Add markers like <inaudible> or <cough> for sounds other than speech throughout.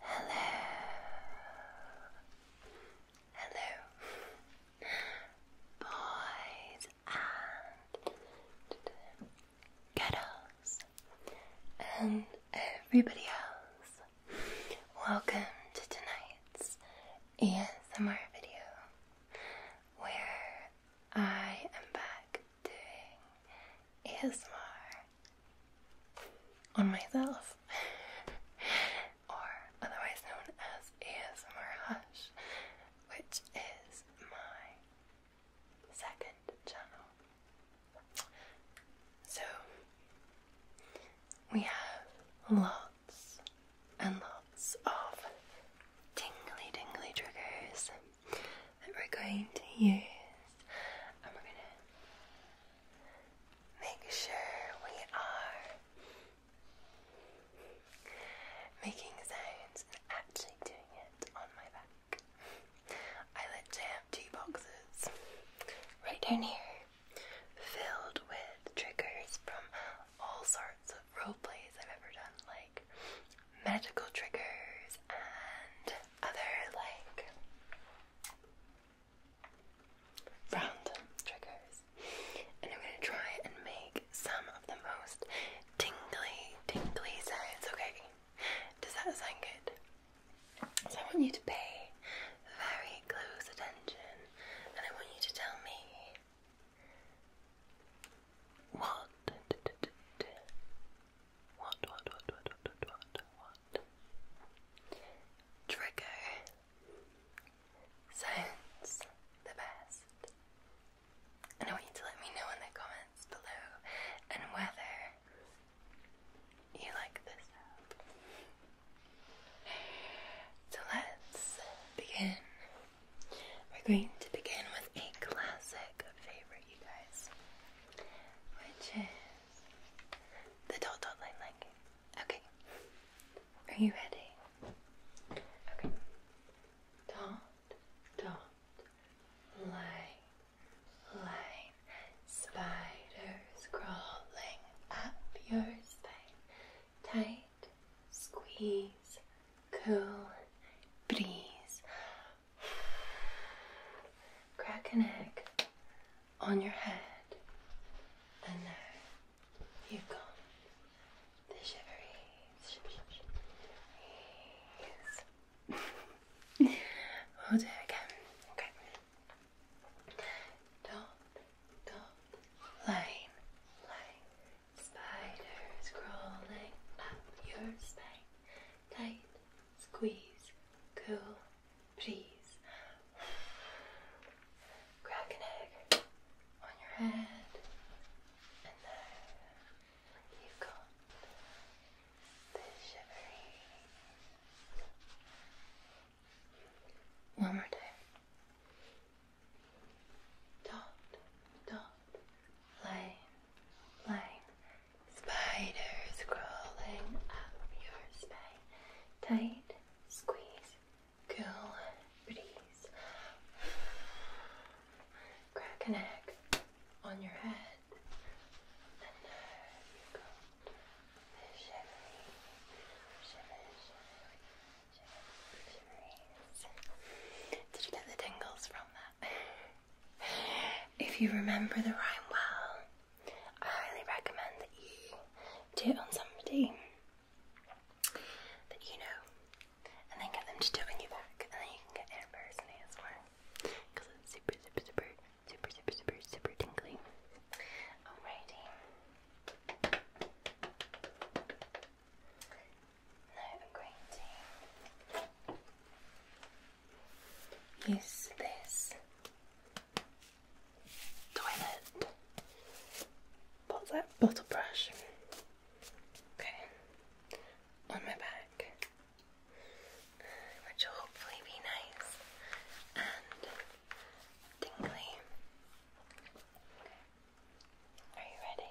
Hello. Hello. Boys and girls and everybody else. Welcome to tonight's ASMR video where I am back doing ASMR on myself, <laughs> or otherwise known as ASMR Hush, which is my second channel. So we have lots and lots of tingly, tingly triggers that we're going to use, and we're going to make sure we are making sounds and actually doing it on my back. I literally have two boxes right down here filled with triggers from all sorts of role plays I've ever done, like medical triggers and other like random triggers. And I'm gonna try and make some of the most tingly, tingly sounds, okay? Does that sound good? So I want you to pay very close attention and I want you to tell me what? What, what, what, what, what, what, what? Trigger sounds the best. And I want you to let me know in the comments below and whether you like this So let's begin. We're going to begin with a classic favorite you guys, which is the dot dot line liking. Okay, are you ready? Okay, dot, dot, line, line, spiders crawling up your spine, tight, squeeze, cool, breeze. Crack an egg on your head, and there you come. The shiveries. shiveries. it again. Okay. Dot, dot, line, line. Spiders crawling up your spine tight, squeeze, cool, breeze. Crack an egg on your head, and now you've got this shivery. One more time. Dot, dot, Line, line. Spiders crawling up your spine. Tight, squeeze, cool breeze. Crack an egg on your head. Did you get the tingles from that? <laughs> If you remember the rhyme well, I highly recommend that you do it on somebody that you know and then get them to do it on you back, and then you can get it personally as well because it's super, super, super, super, super, super, super tingly. Alrighty. No this toilet. What's that bottle brush? Okay, on my back, which will hopefully be nice and tingly. Are you ready?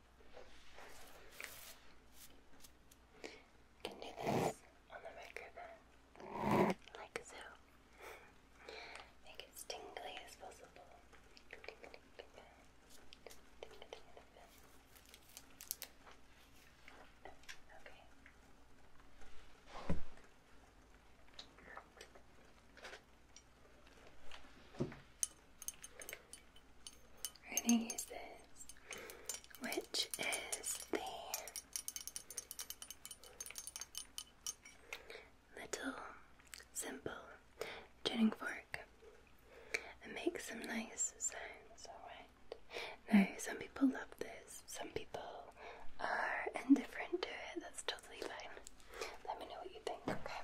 You can do this on the microphone, like so. Make it tingly as possible. Okay. We're gonna use this, which is the little simple tuning fork and make some nice sounds, alright? Now, some people love this, some people are indifferent to it, that's totally fine. Let me know what you think, okay?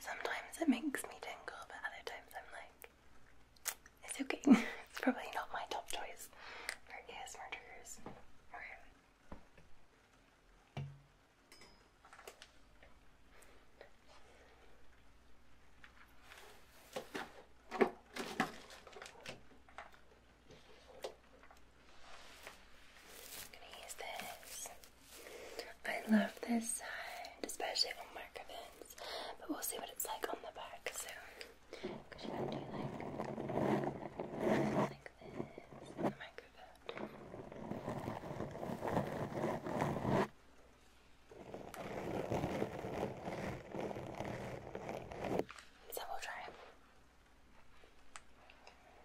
Sometimes it makes me tingle, but other times I'm like, it's okay. <laughs> it's probably not my top choice for ASMR triggers. I'm gonna use this. I love this side, especially on microphones, but we'll see what it's like on the back soon. So we'll try.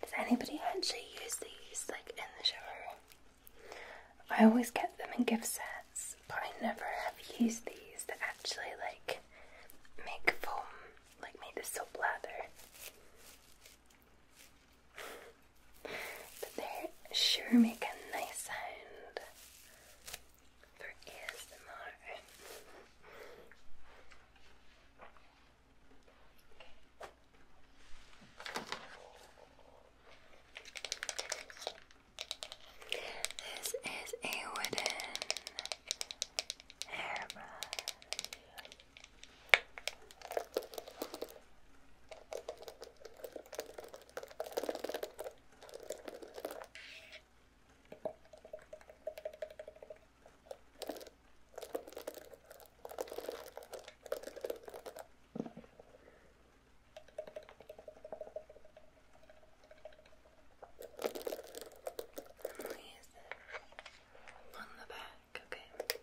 Does anybody actually use these like in the shower? I always get them in gift sets, but I never have used these to actually like make foam, like make the soap lather. But they sure make a nice sound for ASMR. This is a wooden hairbrush. Please. On the back, okay.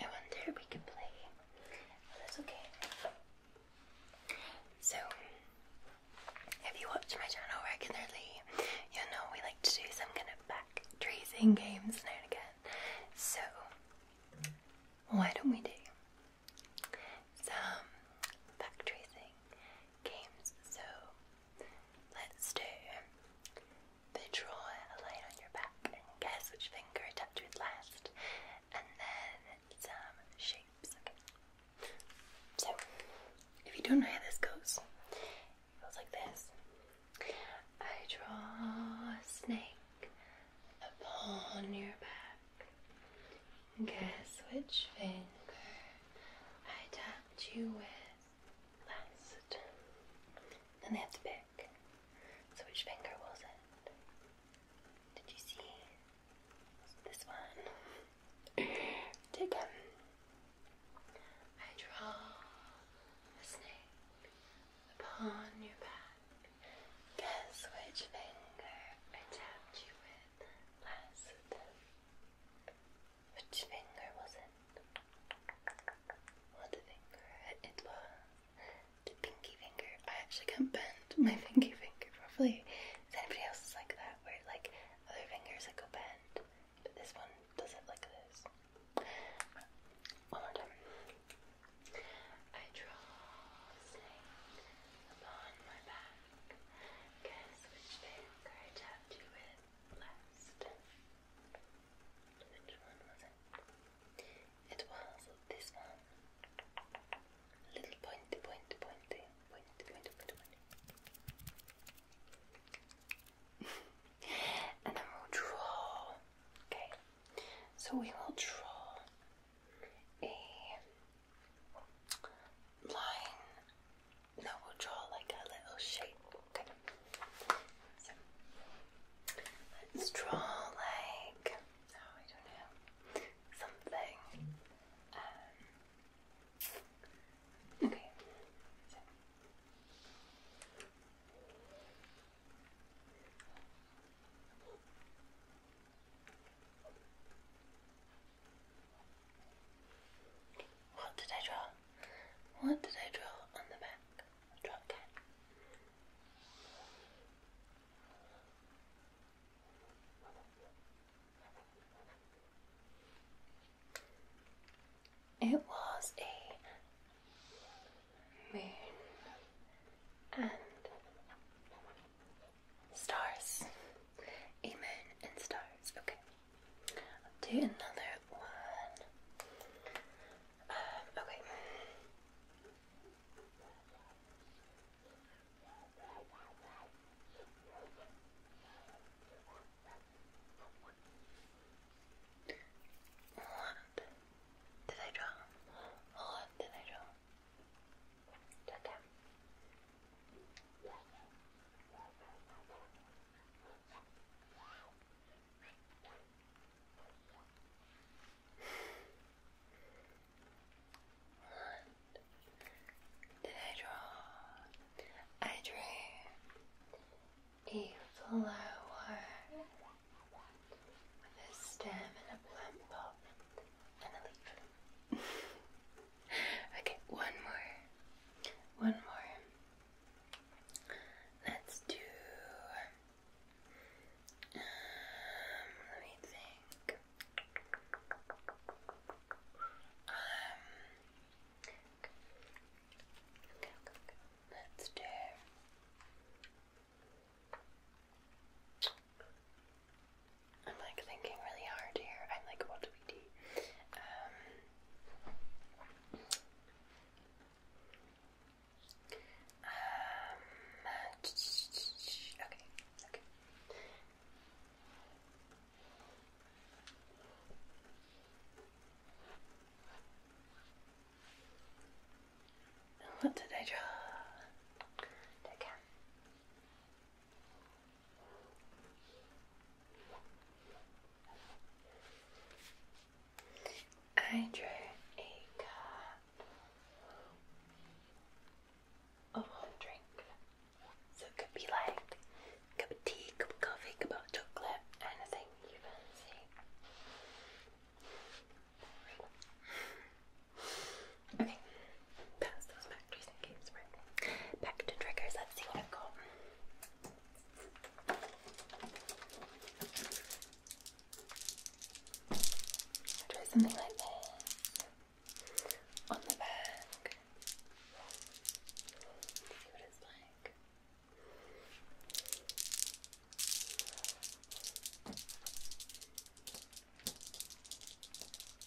I wonder we could play oh, a little So, if you watch my channel regularly, you know we like to do some kind of back tracing games now and again. So, why don't we do some back tracing games. So let's do the draw a line on your back and guess which finger I touched with last, and then some shapes. Okay. So if you don't know how this goes, it goes like this. I draw a snake upon your back. Guess which finger I tapped you with last. Then they have to pick. So which finger was it? Did you see? This one. Dig I draw a snake upon your back. Guess which finger I tapped you with last. Which finger was it? What finger? It was the pinky finger. I actually can't bend my <laughs> pinky finger properly. Is anybody else like that? Where like other fingers like go bend, but this one does it like this. One more time. Guess which book I tapped you with last? Which one was it? It was this one. Little pointy, pointy, pointy, pointy, pointy, pointy, pointy. and then we'll draw. Okay, so we will draw a line that will draw like a little shape. Okay. let's draw like oh I don't know something. Um, okay. What did I draw? What did I draw on the back? Draw cat. It was a moon and Stars. amen, and stars. Okay. do another one. Um, okay. What did I draw? What did I draw? Did I draw? I drew a flower with a stem and a plant and a leaf. <laughs> okay, one more. One more. Let's do. Um, let me think. Um, Let's do. I'm like thinking really hard here. I'm like, what do we do? Um, um, okay, okay. What did I draw? Take I drew a card of hot drink. So it could be like a cup of tea, cup of coffee, cup of chocolate, anything you fancy. Okay, pass those back to some games, triggers, let's see what I've got. something like this on the back. See what it's like.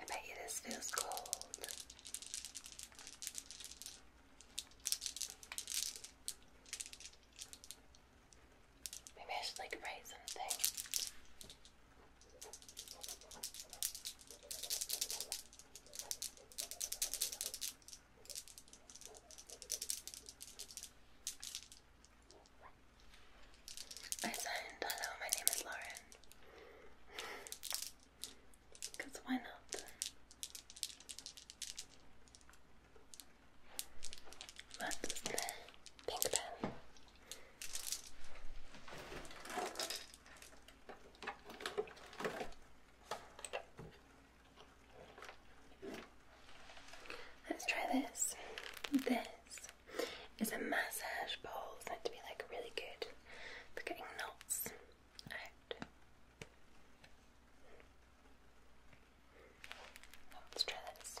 I bet you this feels cold. Maybe I should like write something. I signed, hello, my name is Lauren. Because why not? What is the pink pen? Let's try this. This is a massage bowl. meant to be like really good for getting knots out. Let's try this.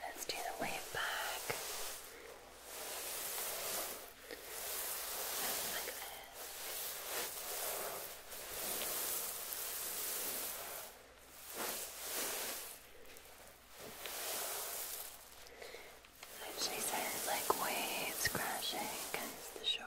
Let's do the wave back. Like this. It actually sounds like waves crashing against the shore.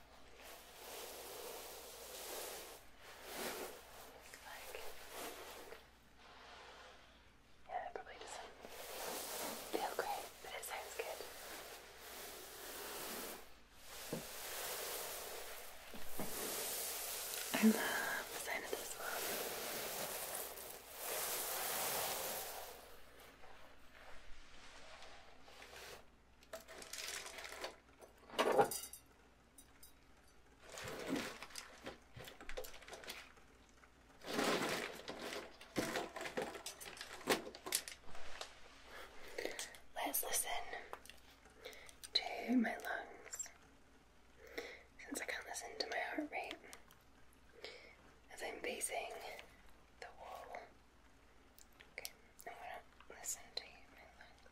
yeah, probably does feel great, but it sounds good. I love the sound of this one. Let's listen to my lungs. Since I can't listen to my heart rate as I'm basing the wall. Okay, I'm gonna listen to my lungs.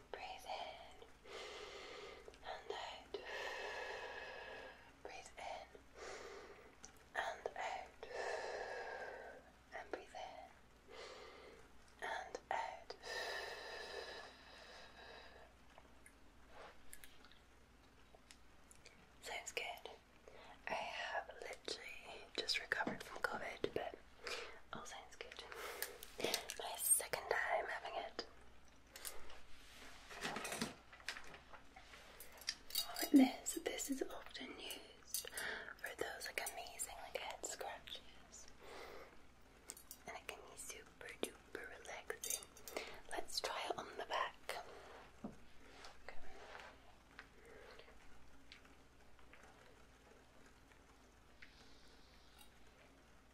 Breathe in and out. Breathe in and out. And breathe in and out. Sounds good. I have literally just recovered from COVID, but all sounds good. My second time having it this, this is often used for those like amazing like head scratches. And it can be super duper relaxing. Let's try it on the back.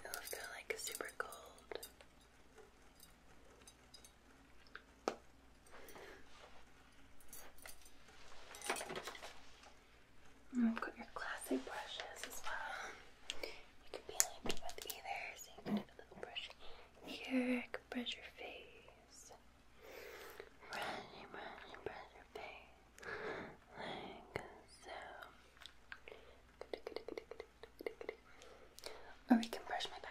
It'll feel like super cold. I've got your classic brushes as well. You could be like with either, so you can do a little brush here, I could brush your face. Brush, brush, brush oh, your face like so. Or we can brush my back.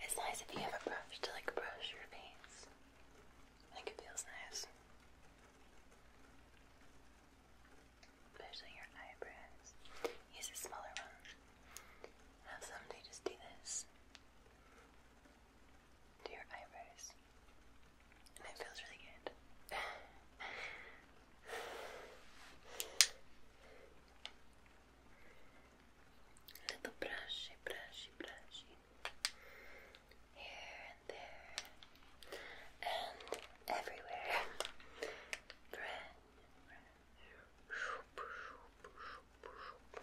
It's nice if you have a brush to like brush your face. I think it feels nice. Especially your eyebrows. Use a smaller one. i someday just do this to your eyebrows. And it feels really good. Little brushy, brushy, brushy. Here and there. And everywhere. Brand, brand. Shoop, shoop, shoop,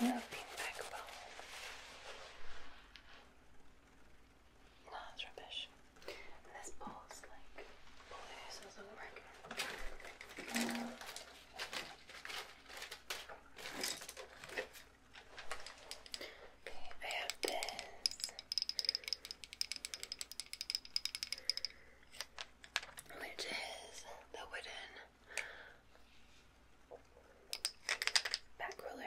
European backbone. No, it's rubbish. And this ball's like blues all over again. I have this which is the wooden back roller.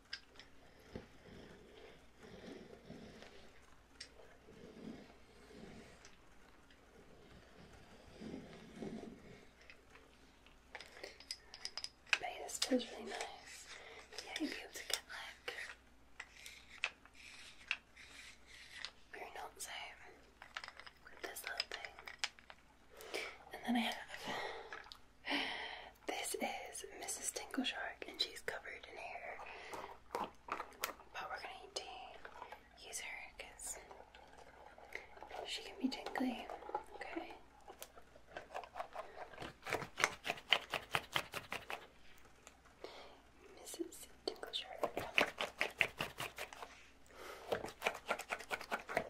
But this feels really nice. Yeah, you'll be able to get like you're not with this little thing. And then I have this is Mrs. Tinkleshark, and she's covered in hair. But we're going to use her because she can be tingly. Okay. Mrs. Tinkle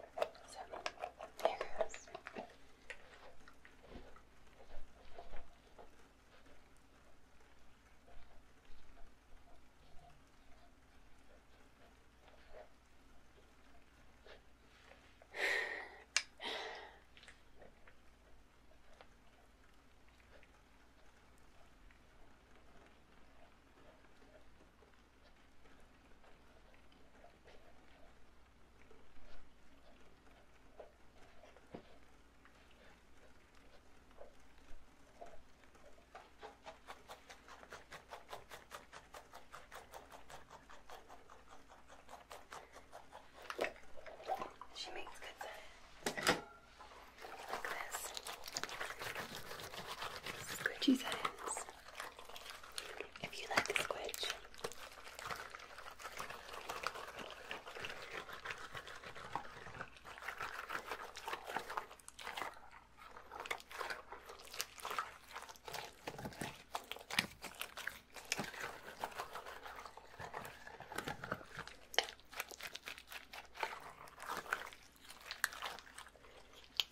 there <sighs> here goes. She makes good salad. Like this. Squidgy salads if you like the squidge.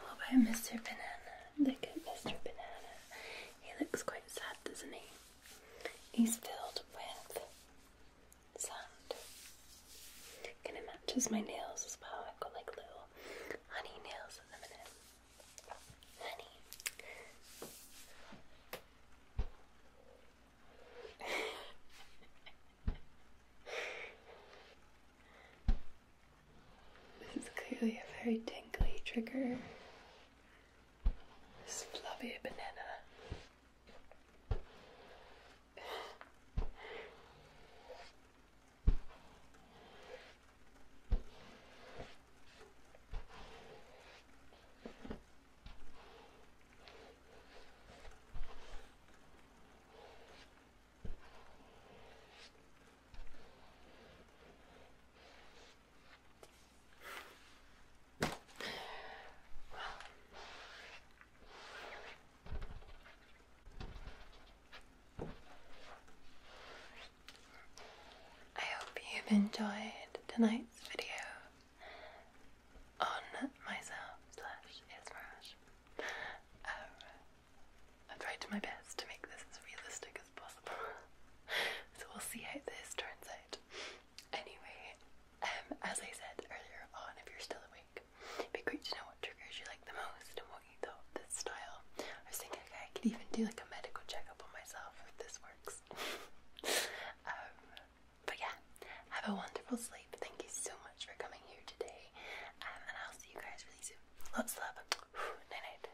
What about Mr. Banana? Look at Mr. Banana. He looks quite sad, doesn't he? is filled with sand. Kind of matches my nails as well. I've got like little honey nails at the minute. Honey. <laughs> this is clearly a very tingly trigger this fluffy banana. I hope you've enjoyed tonight's video on myself slash Ismaraj. Um, I tried my best to make this as realistic as possible, <laughs> so we'll see how this turns out. Anyway, um, as I said earlier on, if you're still awake, it'd be great to know what triggers you like the most and what you thought of style. I was thinking I could even do like a medical checkup on myself if this works. <laughs> Um, but yeah, have a wonderful sleep. Thank you so much for coming here today, um, and I'll see you guys really soon. Lots of love. <sighs> Night night.